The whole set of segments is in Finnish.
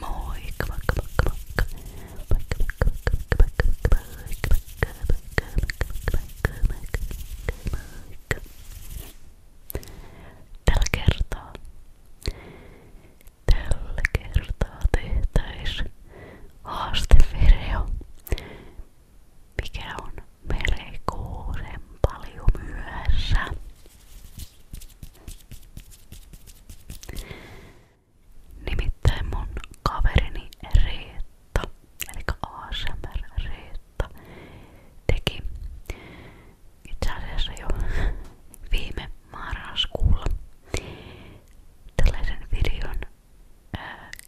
Moikka, moikka, moikka, moikka. Moikka, moikka, moikka, moikka, moikka, moikka, moikka, moikka, moikka, moikka, moikka. Tällä kertaa, tällä kertaa tehtäis haastevideo mikä on merikuuren paljon myöhässä. Nimittäin mun kaverini Riitta, eli ASMR Riitta, teki itse asiassa jo viime marraskuulla tällaisen videon,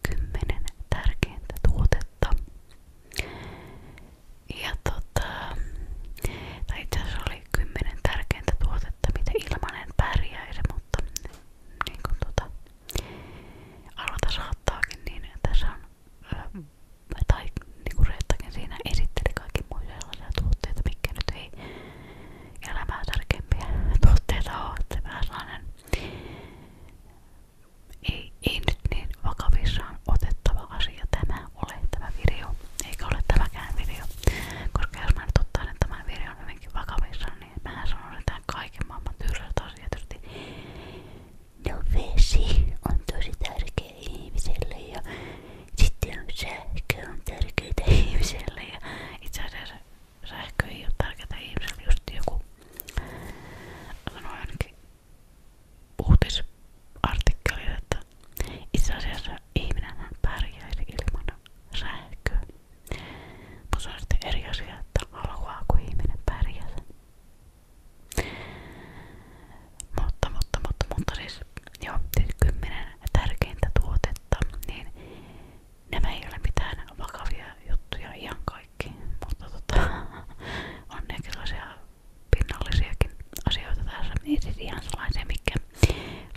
kymmenen tärkeintä tuotetta. Ja tota, tai itse asiassa oli kymmenen tärkeintä tuotetta, mitä ilman en pärjäisi, mutta niin kuin tota, arvata saattaakin, niin tässä on, ö, tai niin kuin Reettakin siinä esitteli kaikki muita sellaisia tuotteita, mitkä nyt ei elämää tärkeimpiä tuotteita ole, että vähän sellainen ei, ei nyt niin vakavissaan otettava asia tämä ole tämä video, eikä ole tämäkään video. Koska jos mä nyt ottaisin tämän videon hyvinkin vakavissaan, niin mä sanoisin tämän kaiken maailman tyrsät asiat tietysti. No vesi on tosi tärkeä ihmiselle ja sitten on sähkö on tärkeää ihmiselle ja itse asiassa sähkö ei ole tärkeää ihmiselle, just joku sanoi ainakin uutisartikkeli, että itse asiassa ihminenhän pärjäisi ilman sähköä. Mutta se on sitten eri asia, että haluaako ihminen pärjätä. Mutta, mutta, mutta, mutta siis, joo, siis kymmenen tärkeintä tuotetta, niin nämä ei ole mitään vakavia juttuja ihan kaikki, mutta tota, on ne sellaisia pinnallisiakin asioita tässä, ei siis ihan sellaisia, mikä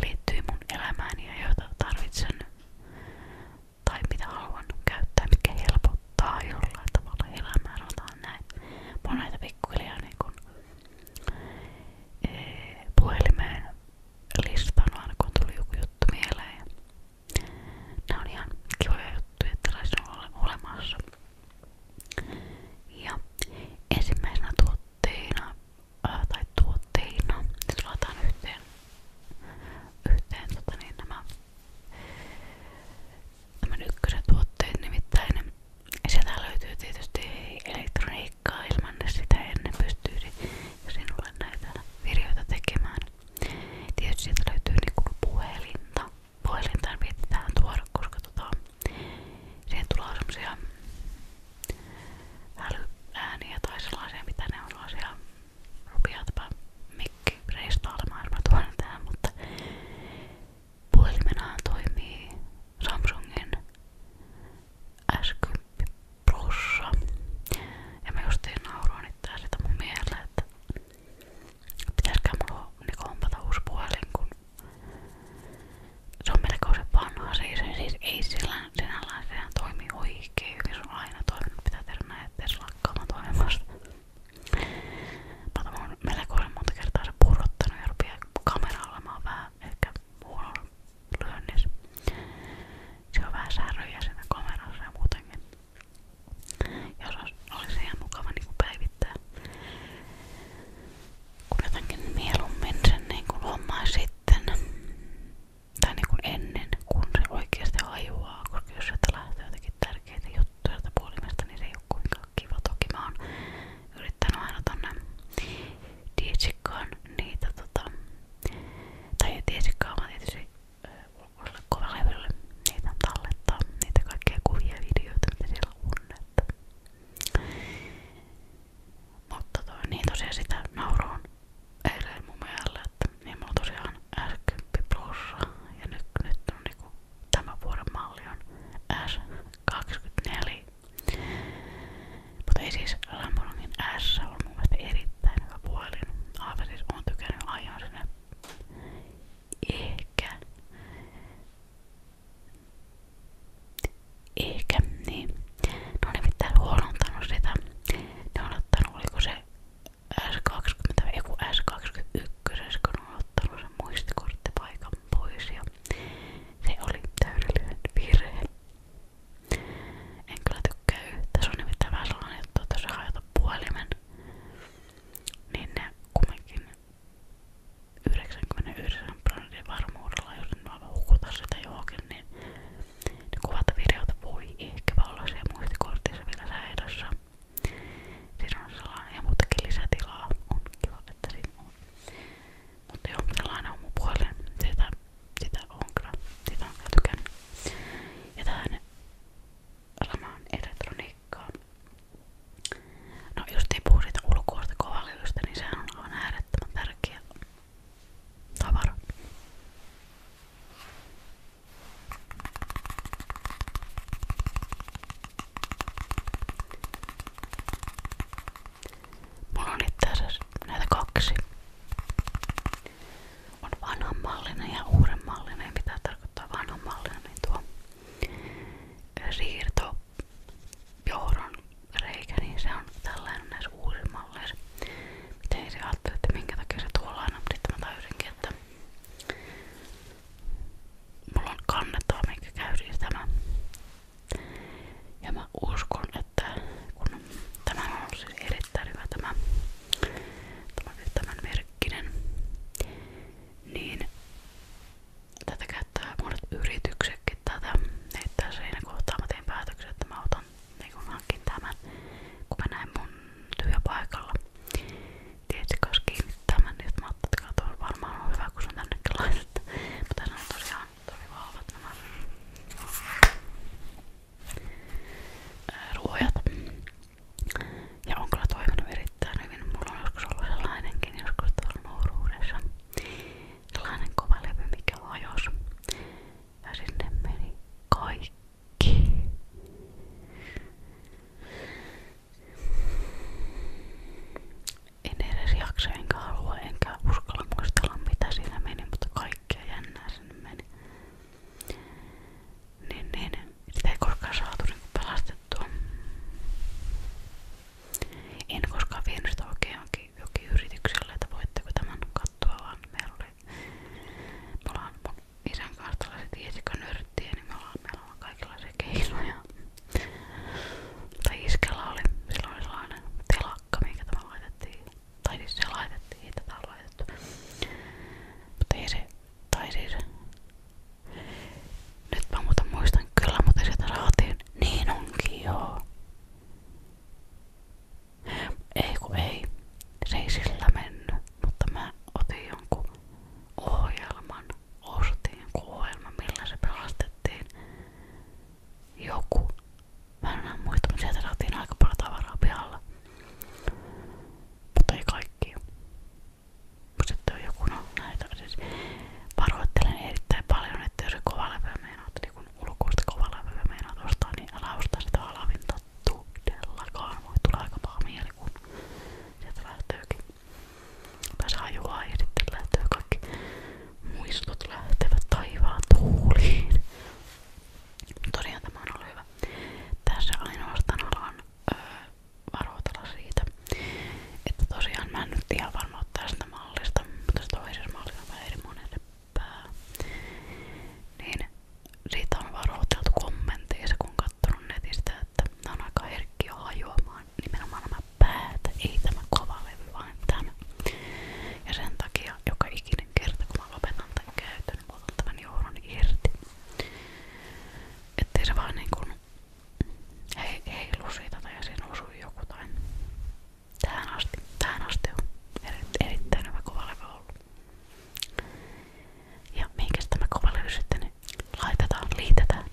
liittyy mun elämään ja joita tarvitsen tai mitä haluan käyttää, mikä helpottaa jollain tavalla elämää, sanotaan näin. Mä oon näitä pikkuhiljaa niin kun, ee, eh, puhelimeen listannut aina kun tuli joku juttu mieleen. Nämä on ihan kivoja juttuja, että on olemassa. Ja ensimmäisenä tuotteina, ää, tai tuotteina, nyt laitetaan yhteen, yhteen tota niin, nämä tämän ykkösen tuotteet nimittäin. Sieltä löytyy tietysti elektroniikkaa ilman sitä ennen pystyisi sinulle näitä videoita tekemään. Tietysti sieltä löytyy niinku puhelinta. Puhelinta pitää tuoda, koska tota, siihen tulee semmosia älyääniä tai sellaisia, mitä ne on sellaisia rupeaa tämä mikki reistailemaan, jos mä tuon tähän, mutta puhelimenahan toimii Samsungin S10 plussa. Ja mä justiin nauroin itseä sitä mun mieleen, että pitäisikö mulla niinku hompata uusi puhelin, kun se on melkoisen vanha. Siis, siis ei sillä sinällään sehän toimi oikein hyvin, se on aina toiminut, pitää tehdä näin, ettei se lakkaamaan toimimasta. Mä oon melkoisen monta kertaa se purrottanut ja rupii kamera olemaan vähän ehkä huono lyönnissä. Se on vähän säröjä siinä kamerassa ja muutenkin. Niin jos olisi ihan mukava niin päivittää. Kun jotenkin mieluummin sen niin kuin hommaa sitten tai niin kuin ennen, kun se oikeasti hajuaa, koska jos sieltä lähtee jotenkin tärkeitä juttuja sieltä puolimesta, niin se ei ole kuinkaan kiva. Toki mä oon yrittänyt aina tonne dietsikkaan niitä tota, tai ei dietsikkaan vaan tietysti ulkolaiville niitä tallettaa, niitä kaikkia kuvia ja videoita Mutta toi, niin tosiaan sitä nauroon eilen mun mielestä, että niin tosiaan s ja nyt, nyt on niinku tämän malli on S24. Mutta ei siis Lamborghini S on mun mielestä erittäin hyvä puhelin. Aivan siis oon tykännyt aion sinne ehkä ehkä niin. Ne on nimittäin huolontanut sitä. Ne on ottanut, oliko se S20, joku S21, kun on ottanut sen muistikorttipaikan pois ja se oli täydellinen virhe. En kyllä tykkää yhtä. Se on nimittäin vähän sellainen juttu, että jos sä hajota puhelimen, niin ne kumminkin 99 prosentin varmuudella, jos en vaan hukuta sitä johonkin, niin ne kuvat ja videota voi ehkäpä olla siellä muistikortissa vielä säilössä. Siinä on sellainen ja muutakin lisätilaa. On kiva, että siinä on. Mutta joo, sellainen on mun puolen. Sitä sitä on kyllä. Sitä on kyllä tykännyt. Ja tähän samaan elektroniikkaan. No jos ei puhu siitä ulkoista kovalyystä, niin sehän on aivan äärettömän tärkeä tavara. Mulla on itse asiassa näitä kaksi on vanhanmallinen ja uudenmallinen. Mitä tarkoittaa vanhanmallinen? Niin tuo siirto johdon niin se on tällainen näissä uusissa malleissa. Miten se että minkä takia se mutta sitten mä tajusinkin, että mulla on kannettava, minkä käydin tämä. Ja mä uskon, että kun tämä on ollut siis erittäin hyvä tämä, tämä tämän merkkinen, niin tätä käyttää monet yrityksetkin tätä, että siinä kohtaa mä tein päätöksen, että mä otan niin kun hankin tämän, kun mä näin mun työpaikalla tietysti kiinnittää tämän, niin mä ajattelin, että kato, varmaan on hyvä, kun se on tännekin laitettu. Mutta tässä on tosiaan tosi vahvat nämä ruojat. Ja on kyllä toiminut erittäin hyvin. Mulla on joskus ollut sellainenkin joskus tuolla nuoruudessa. Sellainen kova levy, mikä hajosi. Ja sinne meni kaikki. En edes jaksa, enkä halua, enkä uskalla muistella mitä siinä meni, mutta kaikkea jännää sinne meni niin, niin sitä ei koskaan saatu niin pelastettua. En koskaan vienyt sitä oikein jonkin, jonkin yritykselle, että voitteko tämän katsoa, vaan meillä oli, me ollaan mun isän kanssa tällaiset isikönörttiä, niin me ollaan, meillä on kaikenlaisia keinoja. Tai iskellä oli, silloin oli sellainen telakka, mikä tämä laitettiin tai siis se laitettiin, ei tätä laitettu. Mutta ei se, tai siis, nyt mä muuta muistan kyllä, mutta sieltä saatiin, niin onkin joo. Ei kun ei, se ei sillä mennyt, mutta mä otin jonkun ohjelman, ostin jonkun ohjelman, millä se pelastettiin joku Mä en enää muista, mutta sieltä saatiin aika paljon tavaraa pihalla. Mutta ei kaikki. Sitten on joku, no näitä siis varoittelen erittäin paljon, että jos kova levyä meinaat, niin kun ulkoista kova levyä meinaat ostaa, niin älä ostaa sitä alavinta todellakaan. Voi tulla aika paha mieli, kun sieltä lähtöykin. Tai se hajuaa ja sitten lähtöö kaikki muistut lähtevät taivaan tuuliin. Tosiaan tämä on ollut hyvä. Tässä ainoastaan haluan öö, varoitella siitä, että tosiaan mä en nyt ihan varma tästä mallista, mutta se toisessa mallissa on vähän eri monen pää. Niin siitä on varoiteltu kommenteissa, kun on katsonut netistä, että nämä on aika herkkiä hajoamaan nimenomaan nämä päät, ei tämä kova levy, vaan tämä. Ja sen takia joka ikinen kerta kun mä lopetan tämän käytön, niin mä otan tämän johdon irti. Ettei se vaan niinku hei, heilu siitä tai siinä osuu joku tai tähän asti, tähän asti on erittäin hyvä kovalevy ollut. Ja mihinkäs tämä kovalevy sitten niin laitetaan, liitetään.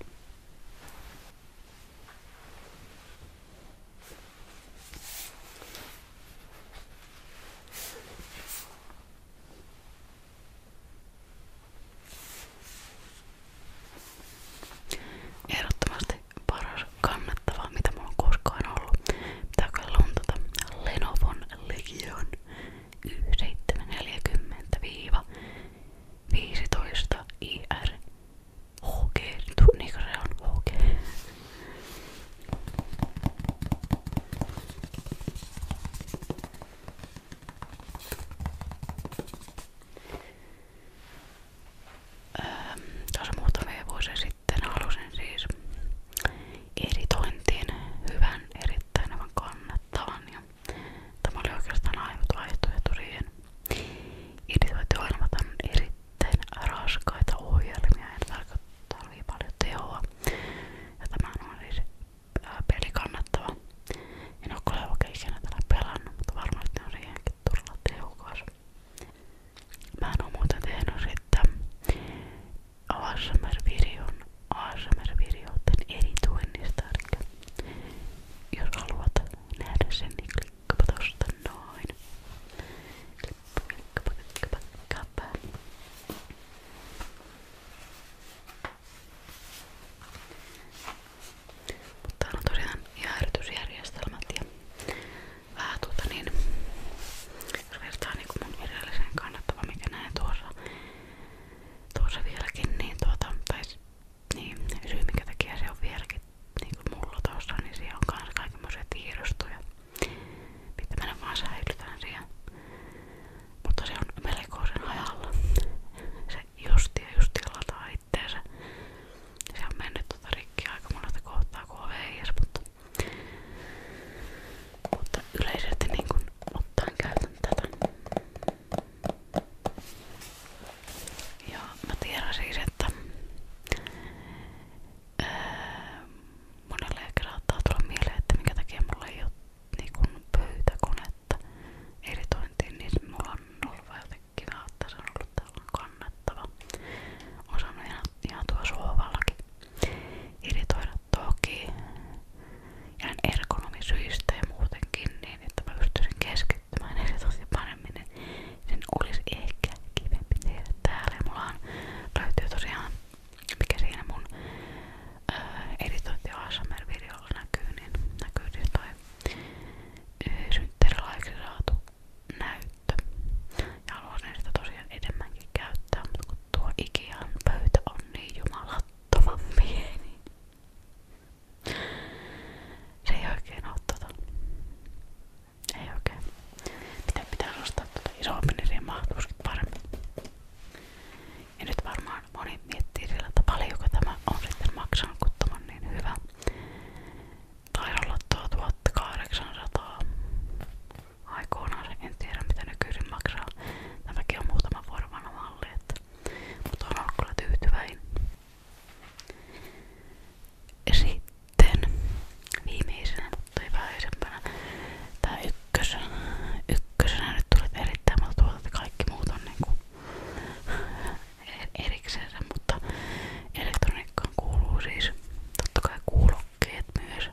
Ehdottomasti paras kannattava, mitä mulla on koskaan ollut. Pitää kyllä luntata Lenovon Legion 740-15 IR. HG, niin se on HG. Öö, Tuossa muutamia vuosia sitten halusin siis editointiin hyvän, erittäin hyvän kannattavan ja tämä oli oikeastaan ainut vaihtoehto siihen. Editointi on erittäin sitten raskaita ohjelmia, ja tarvii paljon tehoa. Ja tämä on siis ää, äh, peli kannattava. En ole kyllä oikein ikinä tällä pelannut, mutta varmasti on siihenkin todella tehokas. Mä en oo muuten tehnyt sitten ASMR-videon ASMR-videoiden editoinnista, eli jos haluat nähdä sen, niin klikkaapa tosta noin. Kappa, kappa, kappa. Mutta täällä on tosiaan jäähdytysjärjestelmät ja vähän tuota niin jos vertaa niin kuin mun viralliseen kannattava mikä näen tuossa tuossa vieläkin niin tuota tai niin syy minkä takia se on vieläkin niin kuin mulla tuossa niin siellä on kans kaikenmoisia tiedostoja Pitää mennä vaan säilytään siihen. Mutta se on melkoisen hajalla. Se justi ja justi lataa itteensä. Se on mennyt tota rikki aika monesta kohtaa kun on veijäs, mutta, mutta yleisesti niin kun ottaen käytän tätä. Ja mä tiedän siis, että Öö, monelle saattaa tulla mieleen, että minkä takia mulla ei ole niinku pöytäkonetta editointiin, niin mulla on ollut vähän kiva, että se on ollut tällainen kannattava. On saanut ihan, ihan tuo sohvallakin editoida toki ihan ergonomisyistä ja muutenkin niin, että mä pystyisin keskittymään editointiin paremmin. Niin sen olisi ehkä kivempi tehdä täällä. Ja mulla löytyy tosiaan, mikä siinä mun äh, editointi ASMR-videolla näkyy, niin näkyy siis toi äh, synttärilaiksi saatu näyttö. Ja haluaisin sitä tosiaan enemmänkin käyttää, mutta kun tuo Ikean pöytä on niin jumalattoman pieni. Se ei oikein oo tota ei oikein. Mitä pitää ostaa tuota isoa peneriä mahtuisikin paremmin. Ja nyt varmaan moni miettii sillä, että paljonko tämä on sitten maksanut, kun tämä on niin hyvä. Taisi olla tuo 1800. Aikoinaan en tiedä mitä nykyisin maksaa. Tämäkin on muutama vuoden vanha malli, että, mutta on ollut kyllä tyytyväinen. Sitten viimeisenä, mutta ei vähäisempänä, tää ykkösenä. Ykkösenä nyt tuli erittäin monta tuolta, kaikki muut on niinku er-, eriksensä, mutta elektroniikkaan kuuluu siis totta kai kuulokkeet myös.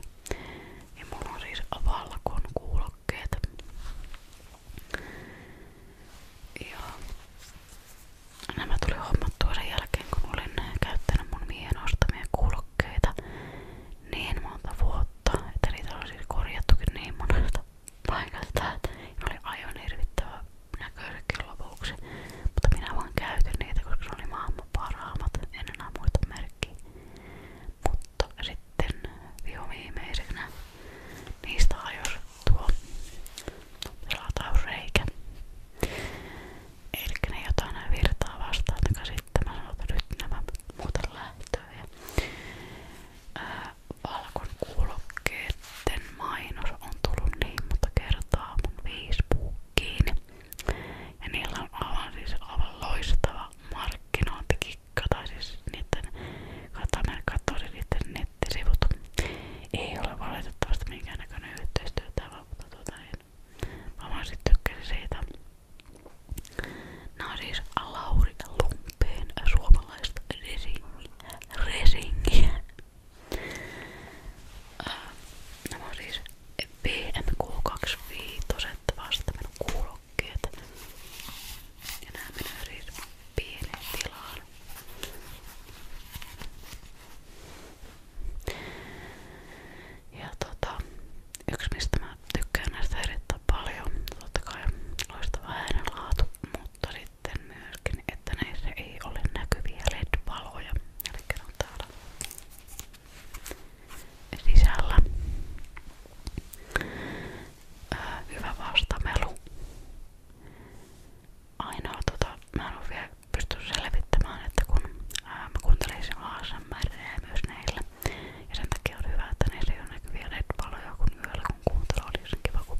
Ja mulla on siis valkon kuulokkeet. Ja nämä tuli hommattua sen jälkeen, kun olin äh, käyttänyt mun miehen ostamia kuulokkeita niin monta vuotta, että niitä oli siis korjattukin niin monesta paikasta, että ne oli aivan hirvittävä näköisetkin lopuksi. Mutta minä vaan käytin niitä, koska ne oli maailman parhaimmat, en enää muista merkkiä. Mutta sitten vihoviimeisenä niistä hajos tuo pelatausreikä. Elikkä ne jotain ne virtaa vastaan, joka sitten mä sanon, että nyt nämä muuten lähtee. Ja, ää, valkon kuulokkeiden mainos on tullut niin monta kertaa mun Facebookiin. Ja niillä on aivan siis aivan loistava markkinointikikka, tai siis niiden katsoin siis niiden nettisivut. Ei ole valitettavasti minkäännäköinen yhteistyötä, vaan mutta tuota niin, Mä vaan sit tykkäsin siitä. Nää on siis Lauri Lumpeen suomalaista resingiä. resingiä. Nämä on siis BMK25 vasta minun kuulokkeet. Ja nämä menee siis pieneen tilaan. Ja tota, yksi mistä mä tykkään näistä erittäin paljon, totta kai loistava äänenlaatu, mutta sitten myöskin, että näissä ei ole näkyviä LED-valoja. Eli on täällä sisällä. Ää, hyvä vastamelu ainoa, tota, mä en ole vielä pystynyt selvittämään, että kun ää, mä kuuntelisin ASMR myös näillä ja sen takia on hyvä, että näillä ei ole näkyviä LED-valoja kun yöllä kun kuuntelu oli sen niin kiva, kun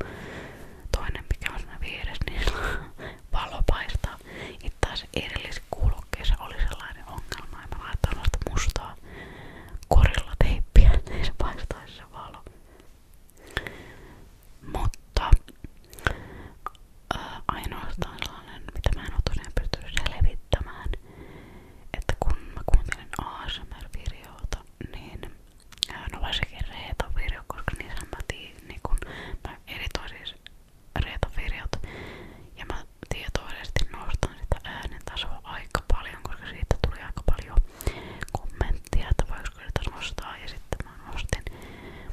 toinen mikä on siinä vieressä, niin valo paistaa. Itse taas edellisessä kuulokkeessa oli sellainen ongelma ja mä laitoin noista mustaa korilla teippiä, niin se paistaisi se valo. Mutta ää, ainoastaan sellainen, mitä mä en oo tosiaan pystynyt selvittämään, että kun mä kuuntelin ASMR-videota, niin ää, no varsinkin Reetan video, koska niissä mä, tii, niin kun, mä editoin siis Reetan videot ja mä tietoisesti nostan sitä äänen tasoa aika paljon, koska siitä tuli aika paljon kommenttia, että voisiko sitä nostaa ja sitten mä nostin.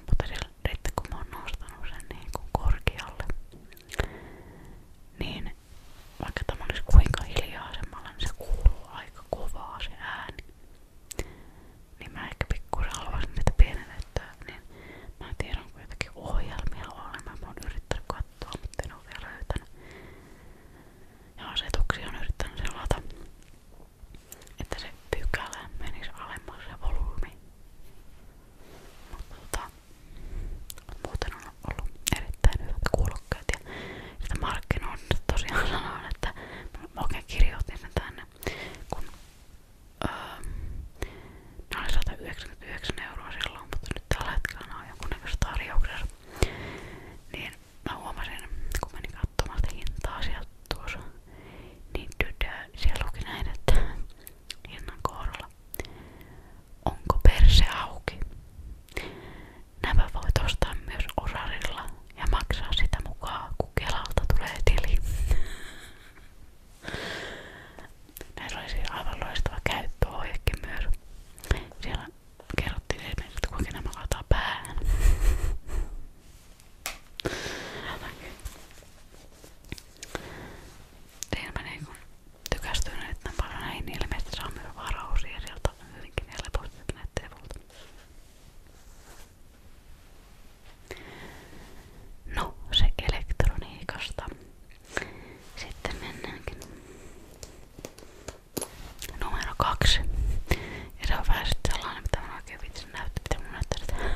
Mutta nyt kun mä oon nostanut sen niin kuin korkealle, niin vaikka tämä olisi kuinka hiljaisemmalle, niin se kuuluu aika kovaa se ääni. Niin mä ehkä pikkuisen haluaisin niitä pienennettää, niin mä tiedän kun jotakin ohjelmia on, mä oon yrittänyt katsoa, mutta en oo vielä löytänyt. Ja asetuksia on yrittänyt selata, että se pykälä menisi alemmaksi se volyymi. Mutta tota, muuten on ollut erittäin hyvät kuulokkeet ja sitä markkinoinnista tosiaan sanoin, että mä oikein kirjoitin sen tänne, kun öö, ne oli 199 euroa silloin, mutta nyt tällä hetkellä ne on jonkunnäköisessä tarjouksessa. Niin mä huomasin, kun menin katsomaan sitä hintaa sieltä, tuossa, niin tytär, siellä luki näin, että hinnan kohdalla. Onko perse auki? Nämä voit ostaa myös osarilla ja maksaa sitä mukaan, kun Kelalta tulee tili. Näillä oli siis aivan loistava käyttöohjekin myös. Siellä kerrottiin esimerkiksi, että kuinka nämä laitetaan päähän. Siinä mä niinku tykästyin erittäin paljon näihin, niin ilmeisesti saa myös varausia sieltä hyvinkin helposti näyttää sivulta. No, se elektroniikasta. Sitten mennäänkin numero kaksi. Ja se on vähän sitten sellainen, mitä mä oikein vitsin näyttää, mitä mun näyttää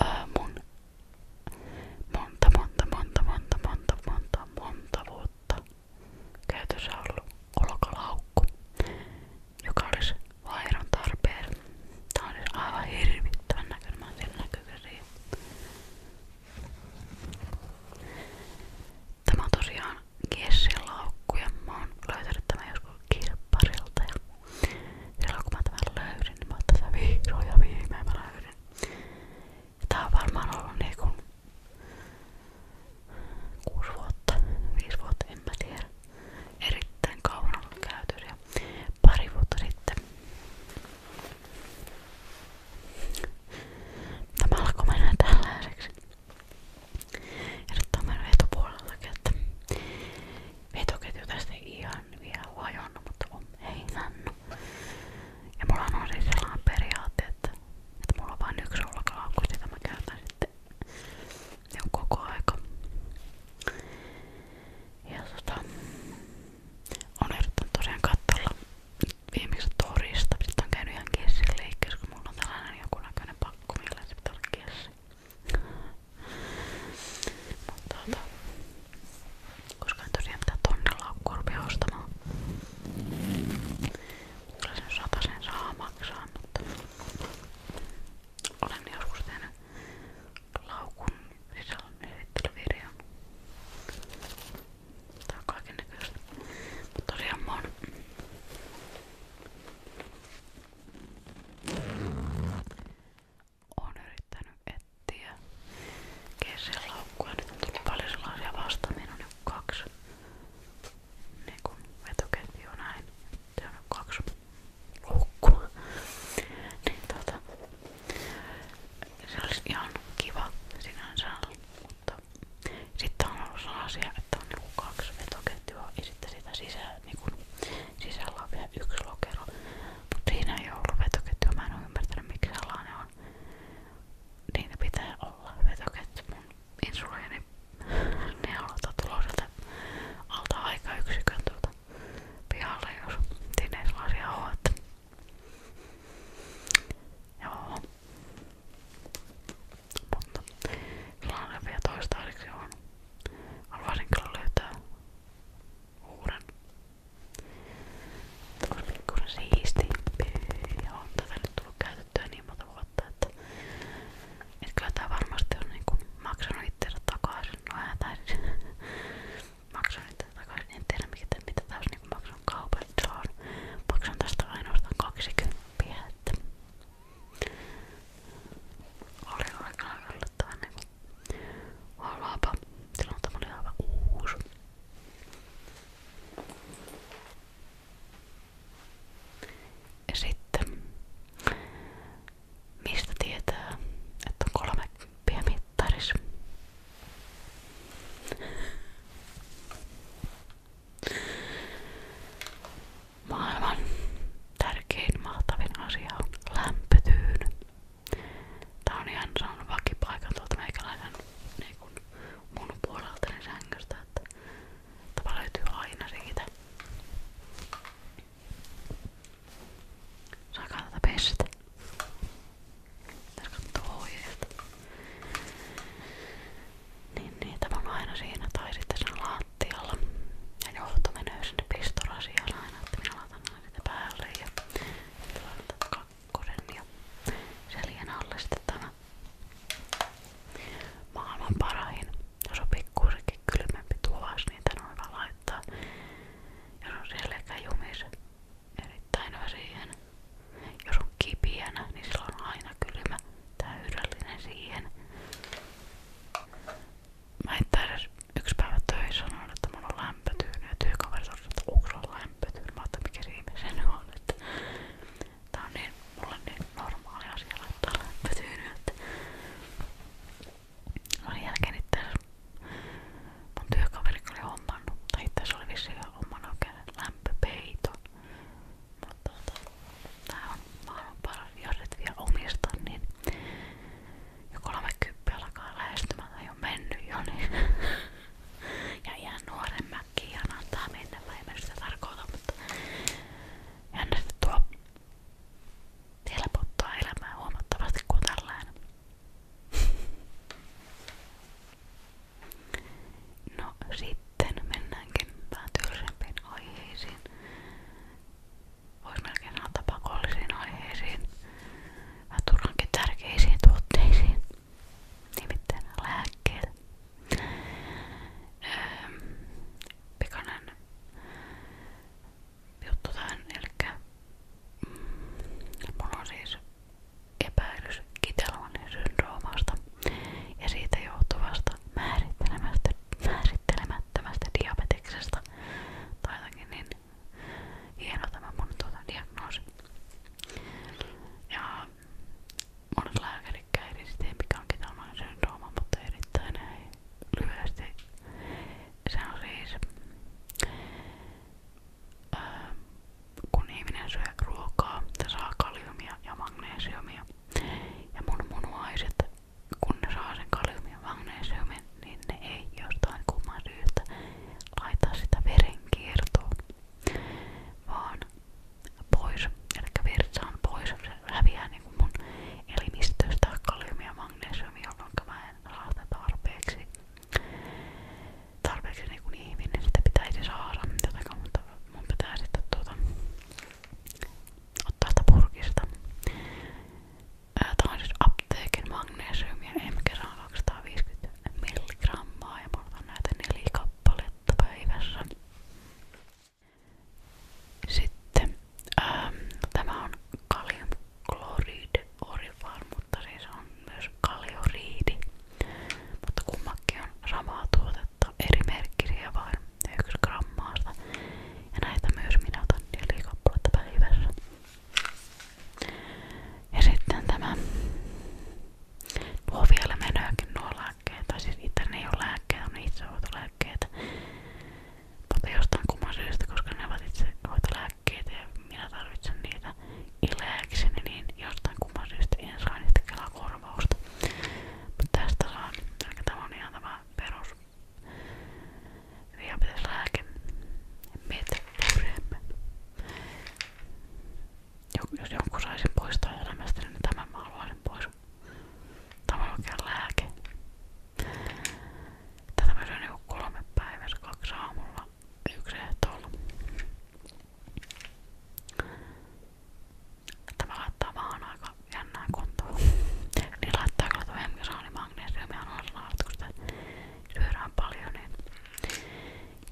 Öö, mun monta, monta, monta, monta, monta, monta, monta vuotta käytössä ollut olkalaukku, joka olisi vaihdon tarpeen. Tää on siis aivan hirvittävän näköinen. Mä oon siellä näkyy Tämä on tosiaan Kessin laukku ja mä oon löytänyt tämän joskus kirpparilta ja silloin kun mä tämän löysin, niin mä oon tässä vihdoin ja viimein mä löydin. Ja tää on varmaan ollut niinku 6 vuotta, 5 vuotta, en mä tiedä. Erittäin kauan ollut käytössä ja pari vuotta sitten Tämä alkoi mennä tällaiseksi. Ehdottomasti etupuolellakin, että vetoketju tästä ei ihan vielä vajonnut, mutta on hengännyt. Ja mulla on siis sellainen periaate, että, että mulla on vain yksi rullakalaukku, sitä mä käytän sitten ne on niin koko aika. Ja tota, on yrittänyt tosiaan katsella viimeksi torista. Sitten on käynyt ihan kessin leikkiä, kun mulla on tällainen joku näköinen pak kurkku, millä se pitää olla kessi. Mutta tota, koska en tosiaan mitään tonnilaukkua rupea ostamaan. Kyllä sen satasen saa maksaa, mutta olen joskus tehnyt laukun sisällön esittelyvideon. Tää on kaikennäköistä. Mutta tosiaan mä oon Oon yrittänyt etsiä kesälaukkua. Nyt on tullut paljon sellaisia vastaan. Minun on nyt kaksi niin kun vetoketjua näin. Se on nyt kaksi luukkua. niin tota, se olisi ihan kiva sinänsä, mutta sitten on ollut sellaisia, että on niinku kaksi vetoketjua ja sitten sitä sisä, niinku, sisällä on vielä yksi lokero. Mutta siinä ei ollut vetoketjua, mä en ole ymmärtänyt miksi sellainen on. Niitä pitää olla vetoketju. Mun insuliini neulota tuloa sieltä alta aikayksikön tuolta pihalle, jos siinä ei sellaisia ole. Joo. Mutta sulla on vielä toistaiseksi on. Arvasin kyllä löytää uuden. Tämä olisi pikkuinen siistimpi ja on tätä nyt tullut käytettyä niin monta vuotta, että et kyllä tää varmasti on niinku maksanut itsensä takaisin. No eihän tää siis maksanut itsensä takaisin. En tiedä mitä, mitä tää olisi niinku maksanut kaupan. Se on maksanut tästä ainoastaan 20 että oli aikanaan yllättävän niinku vallaapa. Silloin tämä oli aivan uusi. Ja sitten, mistä tietää, että on kolme mittaris? Maailman tärkein mahtavin asia on lämpötyyny. Tää on ihan saanut vakipaikan tuolta meikäläisen niin kun mun puolelta niin sängystä, että tapa löytyy aina siitä. Saakaa tätä pestä. Pitäis kattoo ohjeet niin niitä on aina siinä tai sitten siinä lattialla. Ja johto menee sinne pistorasiaan aina, että minä laitan aina sitä päälle ja laitan kakkosen ja selien alle sitten tämä maailman parahin. Jos on pikkuisenkin kylmempi tuvas, niin tän on hyvä laittaa. Jos on selkä jumis, erittäin hyvä siihen. Jos on kipiänä, niin silloin on aina kylmä täydellinen siihen. Mä en taida yksi päivä töissä sanoa, että mulla on lämpötyyny ja työkaveri sanoi, että onko sulla lämpötyyny? Mä ajattelin, mikä riimi se nyt on. Että tää on niin, mulla on niin normaali asia laittaa lämpötyyny, että sen jälkeen itse mun työkaveri oli hommannut, tai itse oli vissiin hommannut oikein lämpöpeiton. Mutta tota, on maailman paras, jos omista, niin jo 30 alkaa lähestymään tai on mennyt jo, niin ja ihan nuoremmäkin ja antaa mennä, mä en mä sitä tarkoita, mutta jännästi tuo helpottaa elämää huomattavasti kuin tällainen. No sit sitten mennäänkin päätyllisempiin aiheisiin. Voisi melkein sanoa tapakollisiin aiheisiin ja turhankin tärkeisiin tuotteisiin, nimittäin lääkkeet. Öö, pikainen juttu tähän, eli mm, mulla on siis epäilys kitelmanin syndroomasta ja siitä johtuvasta määrittelemättömästä diabeteksesta. Tai niin hieno tämä mun tuota diagnoosi. Ja monet lääkärit käydivät sitten, mikä onkin tällainen syndrooma, mutta erittäin Se siis, kun ihminen syö ruokaa, se kaliumia ja magneesiumia. Ja mun munuaiset, kun ne saa sen kaliumin magnesiumin, niin ne ei jostain kumman syystä laita sitä verenkiertoon, vaan pois. Eli virta on pois, se häviää niin mun elimistöstä kaliumia ja magnesiumia, jolloin mä en saa sitä tarpeeksi. Tarpeeksi niin kuin ihminen sitä pitäisi saada, jotenka, mutta mun pitää sitten tuota, ottaa sitä purkista. Tää on siis apteekin magnesiumia M-kerran 250 milligrammaa ja mulla on näitä neljä kappaletta päivässä. Sitten ähm, no tämä on kaliumkloride orifar, mutta siis on myös kalioriidi. Mutta kummakin on samaa tuotetta tuotetta, eri merkkiriä vain 1 grammaasta. Ja näitä myös minä otan 4 kappaletta päivässä. Ja tämä, nuo vielä menöökin nuo lääkkeet, tai siis itse ne ei ole lääkkeet, on itsehoitolääkkeet. Mutta jostain kumman syystä, koska ne ovat itsehoitolääkkeet ja minä tarvitsen niitä ileäkseni, niin jostain kumman en saa niistä kelaa korvausta. Mutta tästä saa, eli tämä on ihan tämä perus. Diabeteslääke. Metforem. Jos jonkun saisin poistaa elämästä, niin tämän mä haluaisin pois. Tämä on oikein lääke. Tätä mä syön joku niinku kolme päivässä, kaksi aamulla, yksi ehtoolla. Tämä laittaa vaan aika jännään kuntoon. niin laittaa kyllä tuo hemikasaani magneesiumia on syödään paljon, niin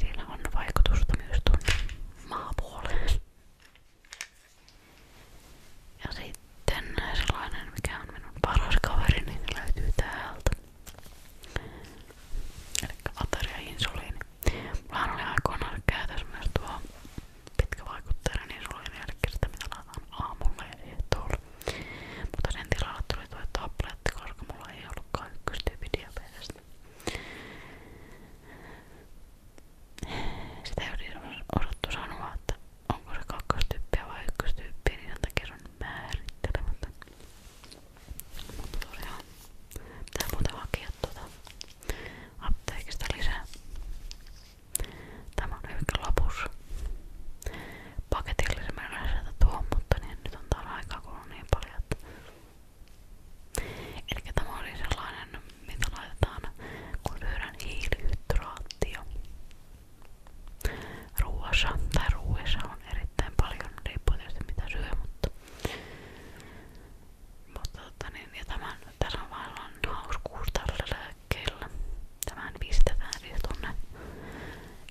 sillä on vaikutusta myös tuonne maapuoleen. Ja sitten sellainen, mikä minun paras kaveri, niin löytyy täältä. Eli Mullahan oli aikoinaan käytössä myös tuo pitkä vaikuttaja, niin sulla oli jälkeen mitä laitan aamulla ja ehtoolla. Mutta sen tilalla tuli tuo tabletti, koska mulla ei ollutkaan ykköstyypin diabetesta. Sitä ei osattu sanoa, että onko se kakkostyyppiä vai ykköstyyppiä, niin sen takia se on määrittelemättä. Mutta tosiaan, pitää muuten hakea tuota apteekista lisää. Tämä on hyvinkin lopussa. Paketille mä en lähdetä tuohon, mutta niin nyt on taas aikaa kulunut niin paljon. Että... Eli tämä oli sellainen, mitä laitetaan kun lyödään hiilihydraatio. Ruoassa tai ruuessa on erittäin paljon, riippuu tietysti mitä syö, mutta mutta tota niin, ja tämän, tässä on vaan hauskuus tällä lääkkeellä. Tämän pistetään siis tonne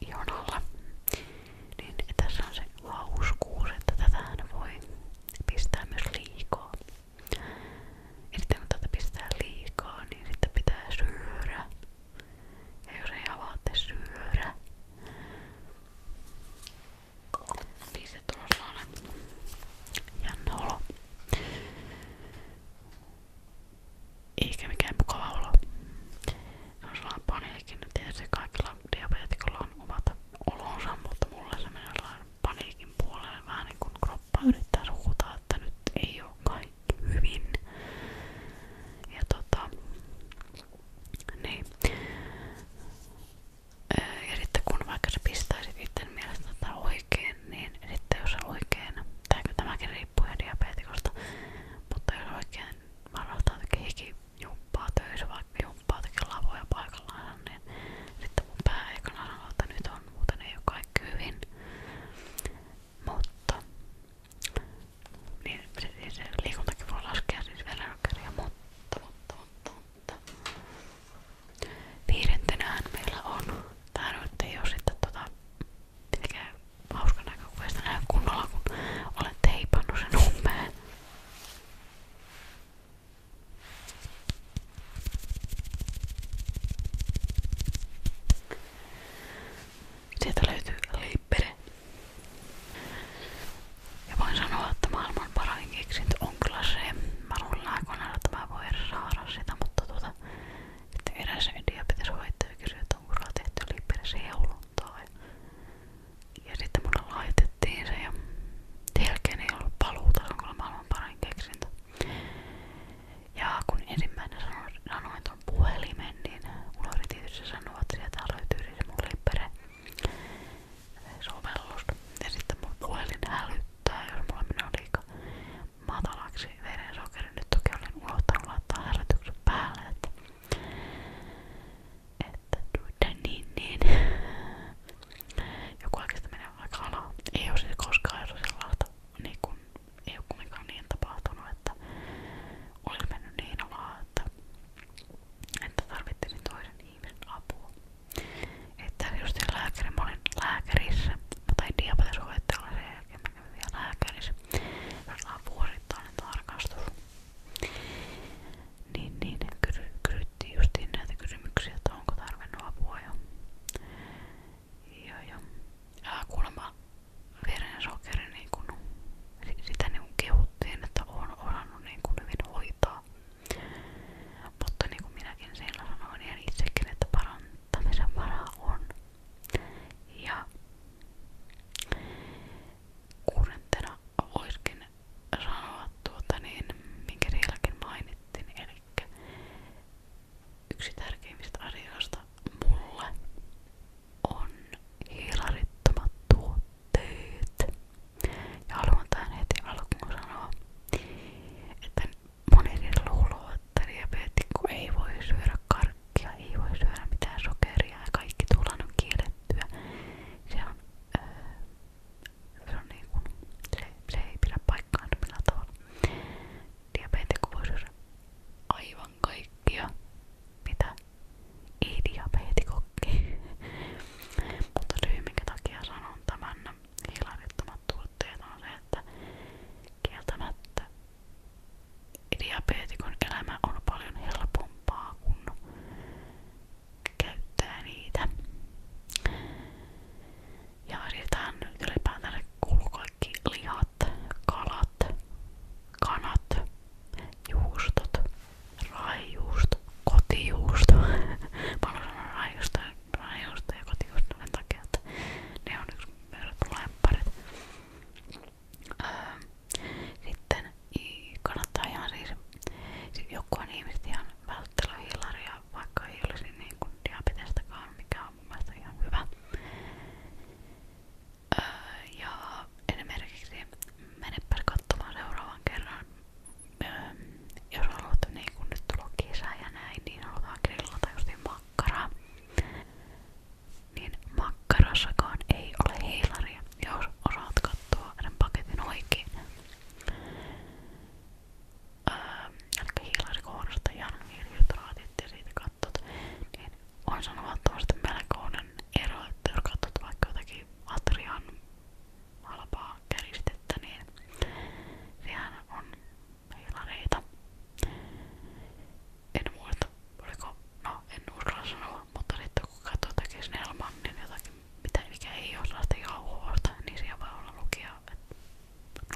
ihon alla. Niin tässä on se hauskuus, että tätähän voi pistää myös liikaa. Ja sitten kun tätä pistää liikaa, niin sitten pitää syödä. Ja jos ei avaatte syödä, niin se tulee sellainen jännä olo. Eikä mikään mukava olo. On sellainen paniikki, no tietysti kaikilla diabetikolla on omat olonsa, mutta mulle se menee sellainen paniikin puolelle vähän niin kuin kroppa yrittää huutaa, että nyt ei oo kaikki hyvin. Ja tota, niin. Äh, ja sitten kun vaikka sä pistäisit itse mielestä tätä tota oikein, niin sitten jos oikein, tääkö tämäkin riippuu ihan diabeetikosta, mutta jos oikein varastaa jotenkin hiki jumppaa töissä, vaikka jumppaa jotenkin lavoja paikallaan, niin sitten mun pää ekana sanoo, että nyt on, muuten ei ole kaikki hyvin. Mutta niin, se, se liikuntakin voi laskea siis verenkärjä, mutta, mutta, mutta, mutta, mutta viidentenään meillä on tää nyt ei oo sitten tota pitäkää hauska näkökuvia sitä näy kunnolla kun olen teipannut sen umpeen Sieltä löytyy lippere. Ja voin sanoa, että maailman parin keksintö on kyllä se. Mä luulen aikoinaan, että mä voin edes saada sitä, mutta tuota, että eräs diabeteshoitaja kysyi, että onko sulla tehty lippirisi heuluntaa. Ja, ja sitten mulle laitettiin se ja jälkeen ei ollut paluuta, se on kyllä maailman parin keksintö. Ja kun ensimmäinen sanoin, sanoin tuon puhelimen, niin mulla oli tietysti sanoa, että sieltä löytyy se mun lippere sovellus. Ja sitten mun puhelin hälyttää, jos mulla menee liikaa matalaksi verensokeri. Nyt toki olen unohtanut laittaa hälytyksen päälle, että, että tuota niin, niin. Joku oikeesti menee aika alaa. Ei oo siis koskaan jo sellaista, niin kun, ei oo kumminkaan niin tapahtunut, että olisi mennyt niin alaa, että, että tarvittiin toisen ihmisen apua. Että just lääkäri, mä olin lääkärissä, mä tain diabeteshoitolla sen jälkeen, mä kävin vielä lääkärissä. Meillä on vuosittainen tarkastus. Niin, niin, kysy, kysyttiin justiin näitä kysymyksiä, että onko tarvinnut apua jo. Joo, joo. Ja kuulemma veren sokeri, niin kun, sitä niin kun kehuttiin, että on osannut niin kun hyvin hoitaa. Mutta niin kuin minäkin siellä sanoin ihan itsekin, että parantamisen varaa on. Ja kuudentena voisikin sanoa tuota niin, minkä sielläkin mainittiin, eli yksi tärkeimmistä asioista mulle on hiilarittomat tuotteet töitä. Ja haluan tähän heti alkuun sanoa, että moni luuloo, että diabeetikko ei voi syödä karkkia, ei voi syödä mitään sokeria ja kaikki tullaan on kiellettyä. Se on, öö, se, on niin kuin, se, se ei pidä paikkaansa millään tavalla. Diabeetikko voi syödä aivan kaikkia, mitä ei diabeetikokki. Mutta syy minkä takia sanon tämän hiilarittomat tuotteet on se, että kieltämättä diabeetikon elämä on paljon helpompaa kun käyttää niitä. Ja siirrytään nyt ylipäätään kuuluu kaikki lihat, kalat, kanat, juustot, raijuusto, kotijuusto. Mä olen sanonut raijuusto, raijuusto ja kotijuusto sen takia, että ne on yksi mun lempparit. Öö, sitten kannattaa ihan siis, siis jokuhan ihmiset ihan välttely hiilaria, vaikka ei olisi niin kuin diabetestakaan, mikä on mun mielestä ihan hyvä. Öö, ja esimerkiksi menepäs katsomaan seuraavan kerran öö, jos haluat, niin kun nyt tulla kesä ja näin, niin halutaan grillata justiin makkaraa. Niin makkarassakaan ei ole heilaria, jos osaat katsoa sen paketin oikein. Öö, eli hiilarikohdasta ja hiilihydraatit ja siitä katsot, niin on sanomattavasti melkoinen ero, että jos katsot vaikka jotakin atrian halpaa käristettä, niin sehän on hilareita. En muista, oliko, no en uskalla sanoa, mutta sitten kun katsoo jotakin snellman, niin jotakin, mitä, mikä ei ole sellaista jauhoista, niin siellä voi olla lukija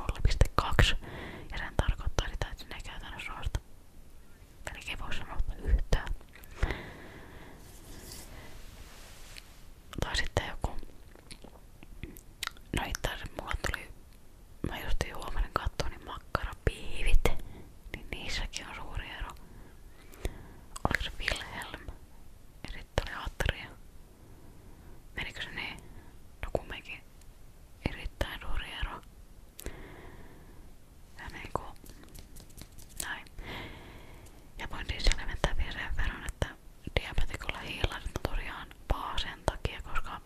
0,2 ja sen tarkoittaa sitä, että sinne ei käytännössä ole sitä. Eli ei voi sanoa yhtään sitten joku. No itse asiassa mä justiin huomenna katsoin, niin makkarapiivit. Niin niissäkin on suuri ero. Oliko se Wilhelm? Ja sitten oli Atria. Menikö se niin? No erittäin suuri ero. Ja niinku, näin. Ja voin siis selventää vielä sen verran, että diabetikolla hiilarinatoriaan paha sen takia, koska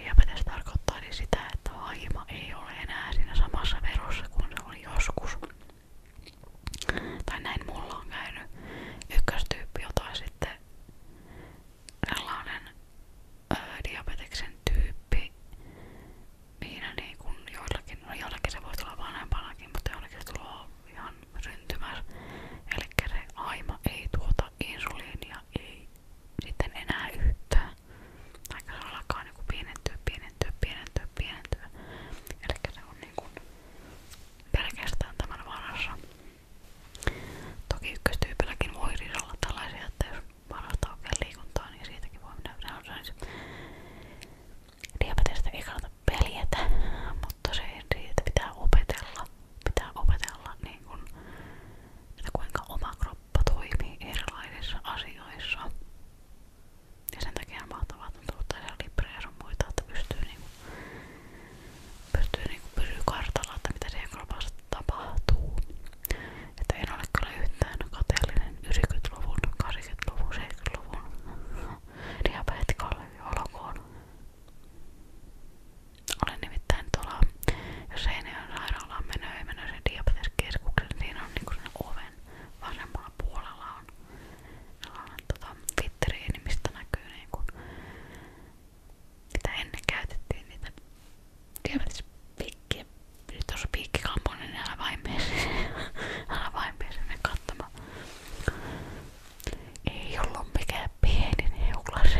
diabetes tarkoittaa niin sitä, että haima ei ole enää siinä samassa verossa kuin se oli joskus. Tai näin mulla on käynyt ykköstyyppi, jota sitten sellainen ö, diabeteksen tyyppi, mihin niin joillakin niin no jollekin se voi tulla vanhempanakin, mutta jollekin se tulee ihan syntymässä. Eli se aima ei tuota insuliinia, ei sitten enää yhtään. Aika se alkaa niinku pienentyä, pienentyä, pienentyä, pienentyä. Eli se on niinku pelkästään tämän varassa. Toki ykköstyypilläkin voi olla tällaisia, että jos varastaa oikein liikuntaa, niin siitäkin voi mennä yleensä diabetesta ei kannata peljätä, mutta se, että pitää opetella, pitää opetella niin kun, että kuinka oma kroppa toimii erilaisissa asioissa. Ja sen takia on mahtavaa, että on tullut tällaisia librejä sun muita, että pystyy, niin kun, pystyy niin kun pysyä kartalla, että mitä siihen kropassa tapahtuu. Että en ole kyllä yhtään kateellinen 90-luvun, 80-luvun, 70-luvun diabetikolle olokuun. Olen nimittäin tuolla, jos Seinäjoen sairaalaan menee, ei mennä sen diabeteskeskuksen, siinä on niinku sen oven vasemmalla puolella on sellainen tota, fitteriini, mistä näkyy niinku, mitä ennen käytettiin niitä diabetespikkiä. Nyt tuossa piikkikampoinen, niin älä vaimeeseen, älä vaimeeseen, ne saattama. Ei ollut mikään pieni neulas.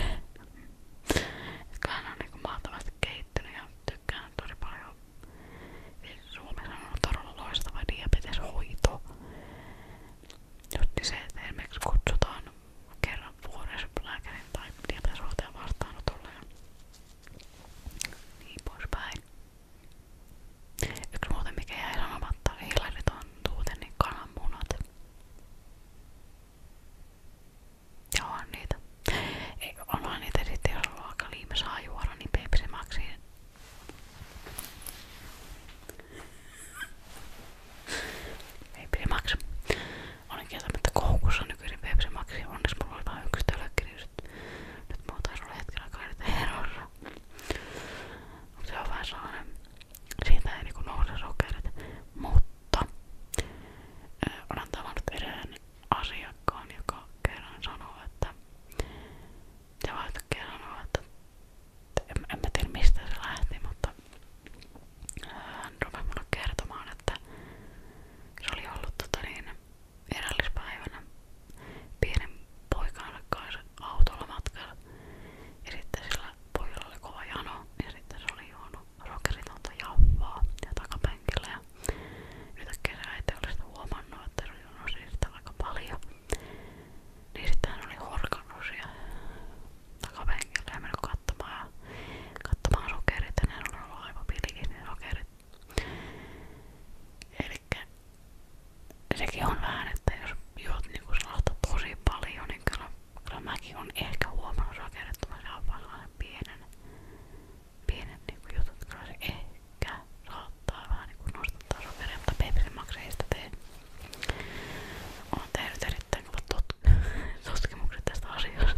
Kyllähän on niinku mahtavasti kehittynyt ja tykkään tosi paljon. Siis Suomessa on todella loistava diabeteshoito. Just niin se, että esimerkiksi kutsutaan kerran vuodessa lääkärin tai diabeteshoitajan vastaanotolle ja niin poispäin. Yksi muuten mikä jäi sanomatta oli hilariton tuutenin niin kananmunat. Joo, on niitä. Ei, onhan niitä sitten, jos on aika liime saa juoda, niin pepsi nykyisin pepsi Onneksi mulla oli vain yksi tölökki, niin nyt, nyt ja se on vähän sellainen, siitä ei niinku nouse sokerit. Mutta äh, olen tavannut edelleen asiakkaan, joka kerran sanoo, että se vaan yhtäkkiä sanoo, että en, en mä tiedä mistä se lähti, mutta hän rupesi mulle kertomaan, että se oli ollut tota niin, erällispäivänä pienen poikalle kanssa autolla matkalla. Ja sitten sillä pojalla oli kova jano ja sitten se oli juonut rokeritonta jaffaa ja takapenkillä. Ja nyt äkkiä se äiti oli sitä huomannut, että se oli juonut siitä aika paljon. Niin sitten hän oli horkannut siellä takapenkillä ja mennyt katsomaan, katsomaan sokerit. Ja ne oli ollut aivan pilkin ne sokerit Elikkä sekin on vähän, että jos juot niinku sellaista tosi paljon, niin kyllä, kyllä mäkin on ehkä huomannut rakennettavasti aivan sellainen pienen, pienen niinku jutun, että kyllä se ehkä saattaa vähän niinku nostaa sokeria, mutta pepsimaksi ei sitä tee. Olen tehnyt erittäin kovat tut tutkimukset tästä asiasta.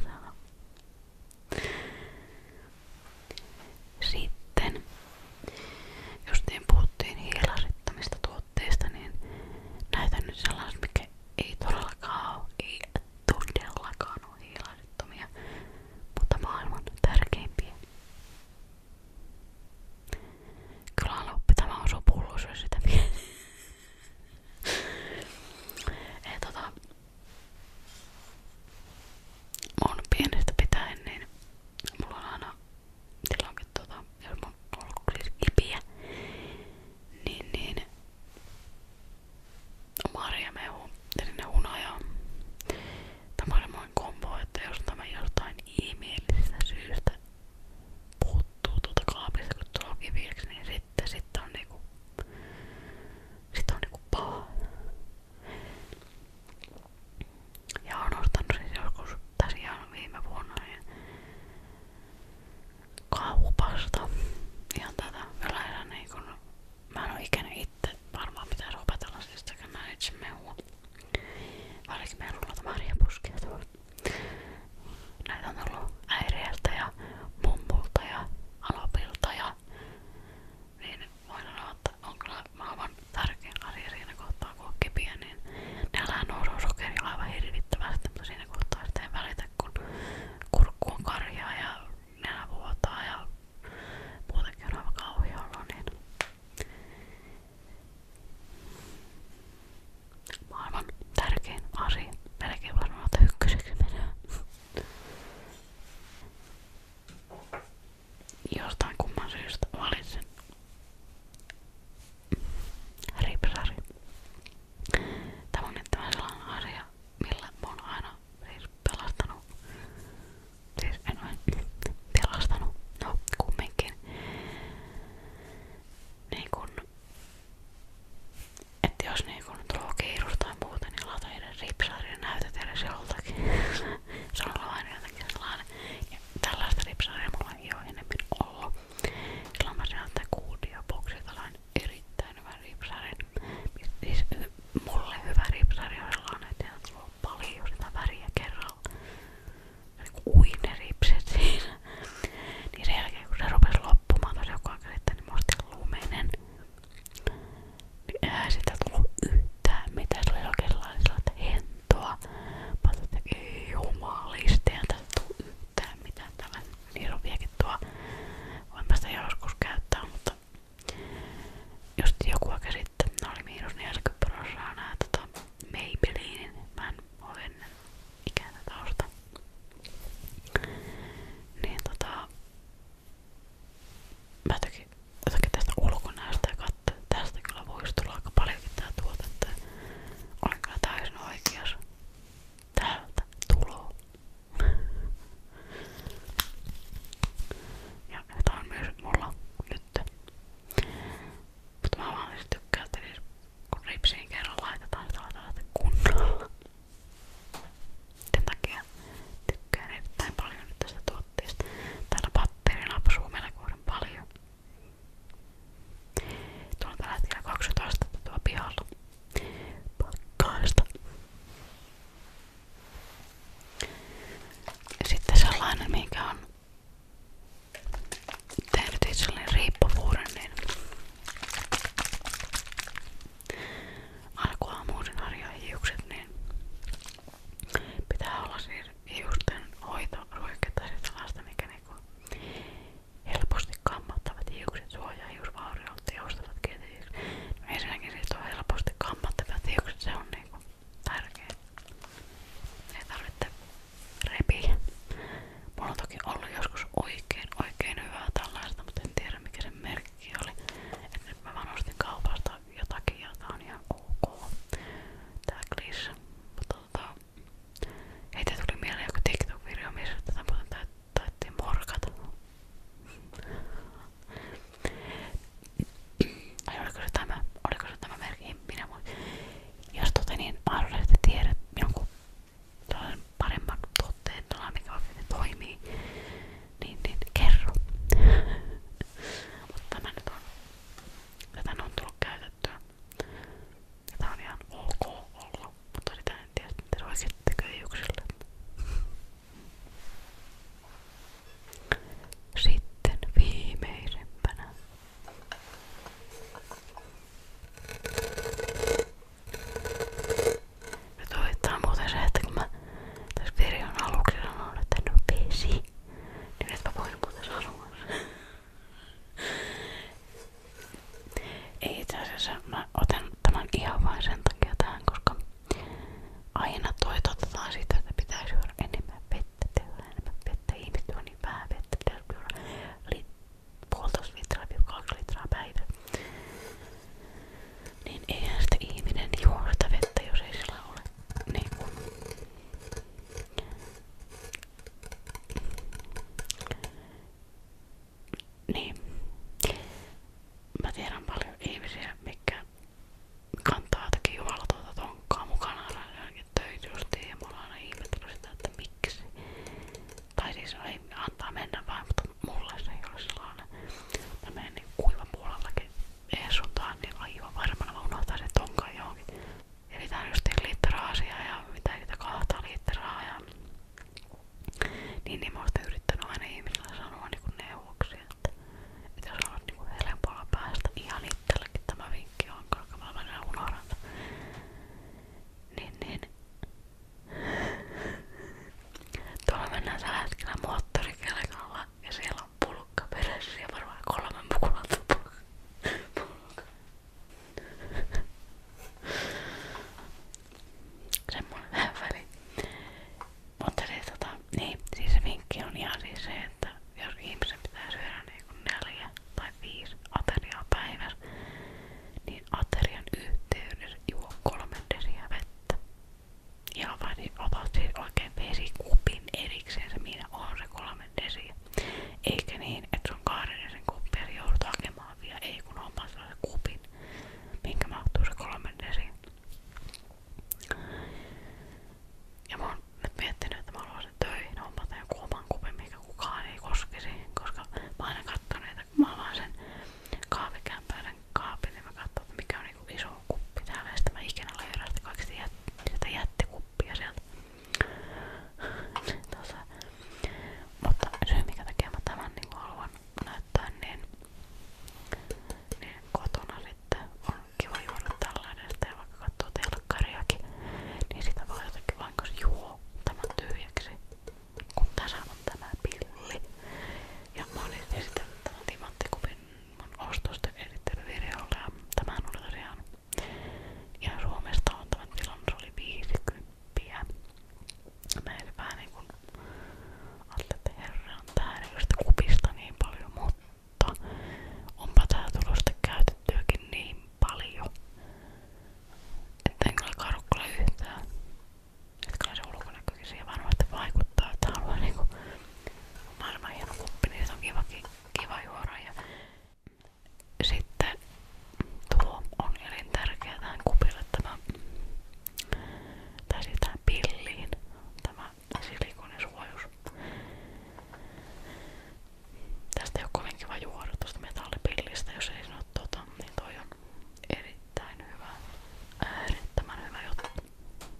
Sitten, justiin puhuttiin hiilarittomista tuotteista, niin näytän nyt sellaisen, mikä ei todellakaan ole, ei todellakaan ole hiilarittomia, mutta maailman tärkeimpiä. Kyllä loppi tämä osuu pullos, jos sitä miettii. tota, mun pienestä pitäen, niin mulla on aina tilanne, tota, jos mun on ollut kipiä, niin, niin marjamehu, eli hunaja tai marjamehu kombo, että jos tämä jostain ihmeellisestä syystä puuttuu tuolta kaapista, kun tuo kiviäksi, niin sitten sit on niinku, sit on niinku paha. Ja on ostanut siis joskus, tässä ihan viime vuonna, niin kaupasta. Ihan tätä yleensä niin kun, mä en oo ikinä itse varmaan pitäis opetella siis tekemään itse mehua. Varsinkin meillä on noita marjapuskia tuolla. Näitä on ollut äirieltä ja mummulta ja alopilta ja niin voi sanoa, mutta on kyllä maailman tärkein asia siinä kohtaa, kun on kipiä, niin näillä nuoruus sokerilla aivan hirvittävästi, mutta siinä kohtaa sitten ei välitä, kun kurkku on karjaa ja nenä vuotaa ja muutenkin on aivan kauhea olo, niin maailman tärkein asia, melkein varmaan, että ykköseksi menee jostain kumman syystä valitsin ripsari. Tämä on nyt tämä sellainen asia, millä mä oon aina siis, siis no kumminkin. Niin kun, että jos niin kun tulee muuta, niin laita edes ripsaria ja näytät se on sellainen jotenkin sellainen, ja tällaista ripsaria mulla ei ole enemmän ollut. Silloin mä sieltä kuudioboksi tällainen erittäin hyvä ripsari. Siis mulle hyvä ripsari on sellainen, että tulee paljon sitä väriä kerralla. Niinku Uineripset siinä. Niin sen jälkeen kun se rupes loppumaan tosi joka kerta, niin mä lumenen niin eihän sitä tullut yhtään mitään. Se oli oikein sellaista hentoa. Mä ajattelin, että ei jumalista, eihän tästä tullut yhtään mitään. Tällainen niiroviakin tuo. Voin päästä joskus käyttää, mutta jos joku aika sitten, ne oli miinus 40 prosenttia nää tota Maybellinin. Mä en ole ennen ikään tätä osta. Niin tota, Mä jotenkin, jotenkin tästä ulkonäöstä ja katso, tästä kyllä voisi tulla aika paljonkin tää tuote, että olen kyllä täysin oikeas. Täältä tulo. Ja tää on myös mulla nyt. Mutta mä vaan siis tykkään, että siis kun ripsiin kerran laitetaan, sitä niin laitetaan kunnolla. Sen takia tykkään erittäin paljon nyt tästä tuotteesta vaatteista. Täällä patterina meillä kohden paljon. Tuolla on tällä hetkellä 20 astetta tuolla pihalla. Pakkaista. Sitten sellainen, mikä on tehnyt itselleni riippuvuuden, niin alkuaamuisin harjaa hiukset, niin pitää olla siis hiusten hoitoruiketta ja sellaista, mikä niinku helposti kammattavat hiukset suojaa hiusvauriolta ja joustavat kietihiukset. No ensinnäkin siis on helposti kammattavat hiukset, se on niinku tärkeä. Ei tarvitse repiä. Mulla on toki ollut joskus oikein oikein hyvää tällaista, mutta en tiedä mikä sen merkki oli. Et nyt mä vaan ostin kaupasta jotakin ja tää on ihan ok tää kliss mutta tota heitä tuli mieleen joku TikTok-video missä tätä muuten taittiin morkata Ai oliko se tämä, oliko se tämä merkki, minä voin. Jos tota niin mahdollisesti tiedät jonkun paremman tuotteen, mikä oikein toimii, niin, niin kerro. Mutta tämä nyt on, tätä on tullut käytettyä. Tätä on ihan ok olla, mutta sitä en tiedä, miten oikein tekee juksille. Sitten viimeisempänä. Nyt olettaa muuten se, että kun mä tässä videon aluksi sanoin, että en oo PC. Niin nyt mä voin muuta sanoa. Ei itse asiassa mä otan tämän ihan vain sen takia tähän, koska aina toitotetaan sitä, että pitäisi juoda enemmän vettä, tehdä enemmän vettä, ihmiset on niin vähän vettä, pitäisi juoda lit- puolitoista litraa, kaksi litraa päivä niin eihän sitä ihminen juo sitä vettä, jos ei sillä ole niin kuin niin. Mä tiedän paljon ihmisiä, mikä kantaa jotakin jumalatonta tonkkaa mukana johonkin töitä ja mä oon aina ihmetellyt sitä, että miksi. Tai siis ei antaa mennä vaan, mutta mulla se ei ole sellainen. Mä menen niin kuivan puolellakin Eessuntaan, niin aivan varmana mä unohtaisin tonkan johonkin. Eli tää on ja mitä niitä kahta liittoraa ja niin, niin mä oon yrittänyt aina ihmisillä sanoa niinku neuvoksia, että, että jos haluat niinku helpolla päästä ihan itsellekin tämä vinkki on, koska mä mennään unohdan. Niin, niin. Tuolla mennään tällä hetkellä moottorikelkalla ja siellä on pulkka perässä ja varmaan kolme mukulattu pulkka. pulkka. Semmoinen vähän väli. Mutta siis tota, niin, siis se vinkki on ihan siis se, että jos ihmisen pitää syödä niin kuin neljä tai viisi ateriaa päivässä, niin aterian yhteydessä juo kolme desiä vettä. Ja niin otatte oikein vesikupin erikseen, se minä on se kolme desiä. Eikä niin, että se on kahden desin kuppi ja joudut hakemaan vielä, ei kun hommaa sellaisen kupin, minkä mahtuu se kolme desiin. Ja mä oon nyt miettinyt, että mä haluaisin töihin hommata joku oman kupin, mikä kukaan ei koskisi, koska mä aina katson, että kun mä avaan sen kahvikämpäisen kaapille. Niin mä katsoin, mikä on niinku iso kuppi täällä. Ja sitten mä ikinä löydän sitä kaikista jät, sitä jättikuppia sieltä. Tuossa. Mutta syy mikä takia mä tämän niinku haluan näyttää, niin, niin kotona sitten on kiva juoda tällainen. Ja vaikka katsoo telkkariakin, niin sitä voi jotenkin vaan juo tämän tyhjäksi. Kun tässä on tämä pilli. Ja mä olin esitellyt tämän timanttikupin mun ostosten erittelyvideolla ja tämähän oli tosiaan ihan Suomesta on tämän tilanne, se oli 50. Mä en vähän niinku ajattelin, että herran tää ei kupista niin paljon, mutta onpa tää tulosta käytettyäkin niin paljon, että en kyllä karu kyllä yhtään. Et kyllä se ulkonäkökin siihen varmasti vaikuttaa, että haluaa niinku maailman hieno kuppi, niin se on kiva, kiva juoda. Ja sitten tuo on elintärkeä tähän kupille tämä, tai siis tähän pilliin, tämä silikonisuojus. Tästä ei ole kovin kiva juoda tuosta metallipillistä, jos ei sano tota, niin toi on erittäin hyvä, äärettömän hyvä juttu.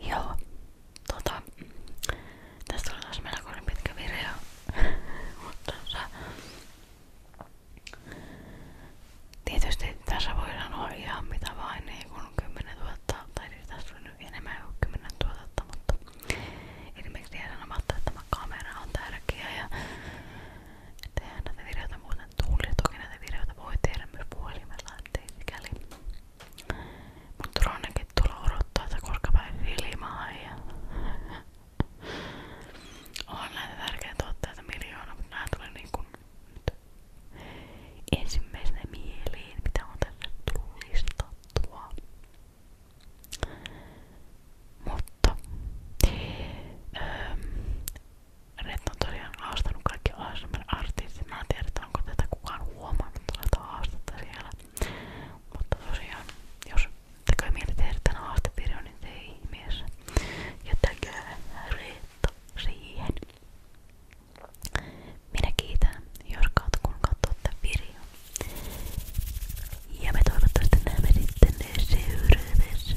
Joo, tota, tästä oli taas melkoinen pitkä video, mutta tota, tietysti tässä voi sanoa ihan mitä vain, niin kun 10 000, tai siis tässä on nyt enemmän kuin 10 000, mutta ilmeisesti jää sanomatta, että tämä kamera on tärkeä ja tehdään näitä videoita muuta sellainen tuuli, toki näitä videoita voi tehdä myös puhelimella, ettei mikäli. Mutta Ronnekin tulla odottaa, että koska päin filmaan ja on näitä tärkeitä tuotteita miljoona, mutta nää tuli niinku nyt ensimmäisenä mieliin, mitä on tänne tullut listattua. Mutta öö, Retta on tosiaan haastanut kaikki ASMR-artistit. Mä en tiedä, onko tätä kukaan huomannut tällaista haastetta siellä. Mutta tosiaan, jos tekee mieli tehdä tämän haastevideon, niin tee ihmeessä. Jättäkää Retta siihen. Minä kiitän, jos kautta kun katsoo tämän videon. Ja me toivottavasti näemme sitten seuraavassa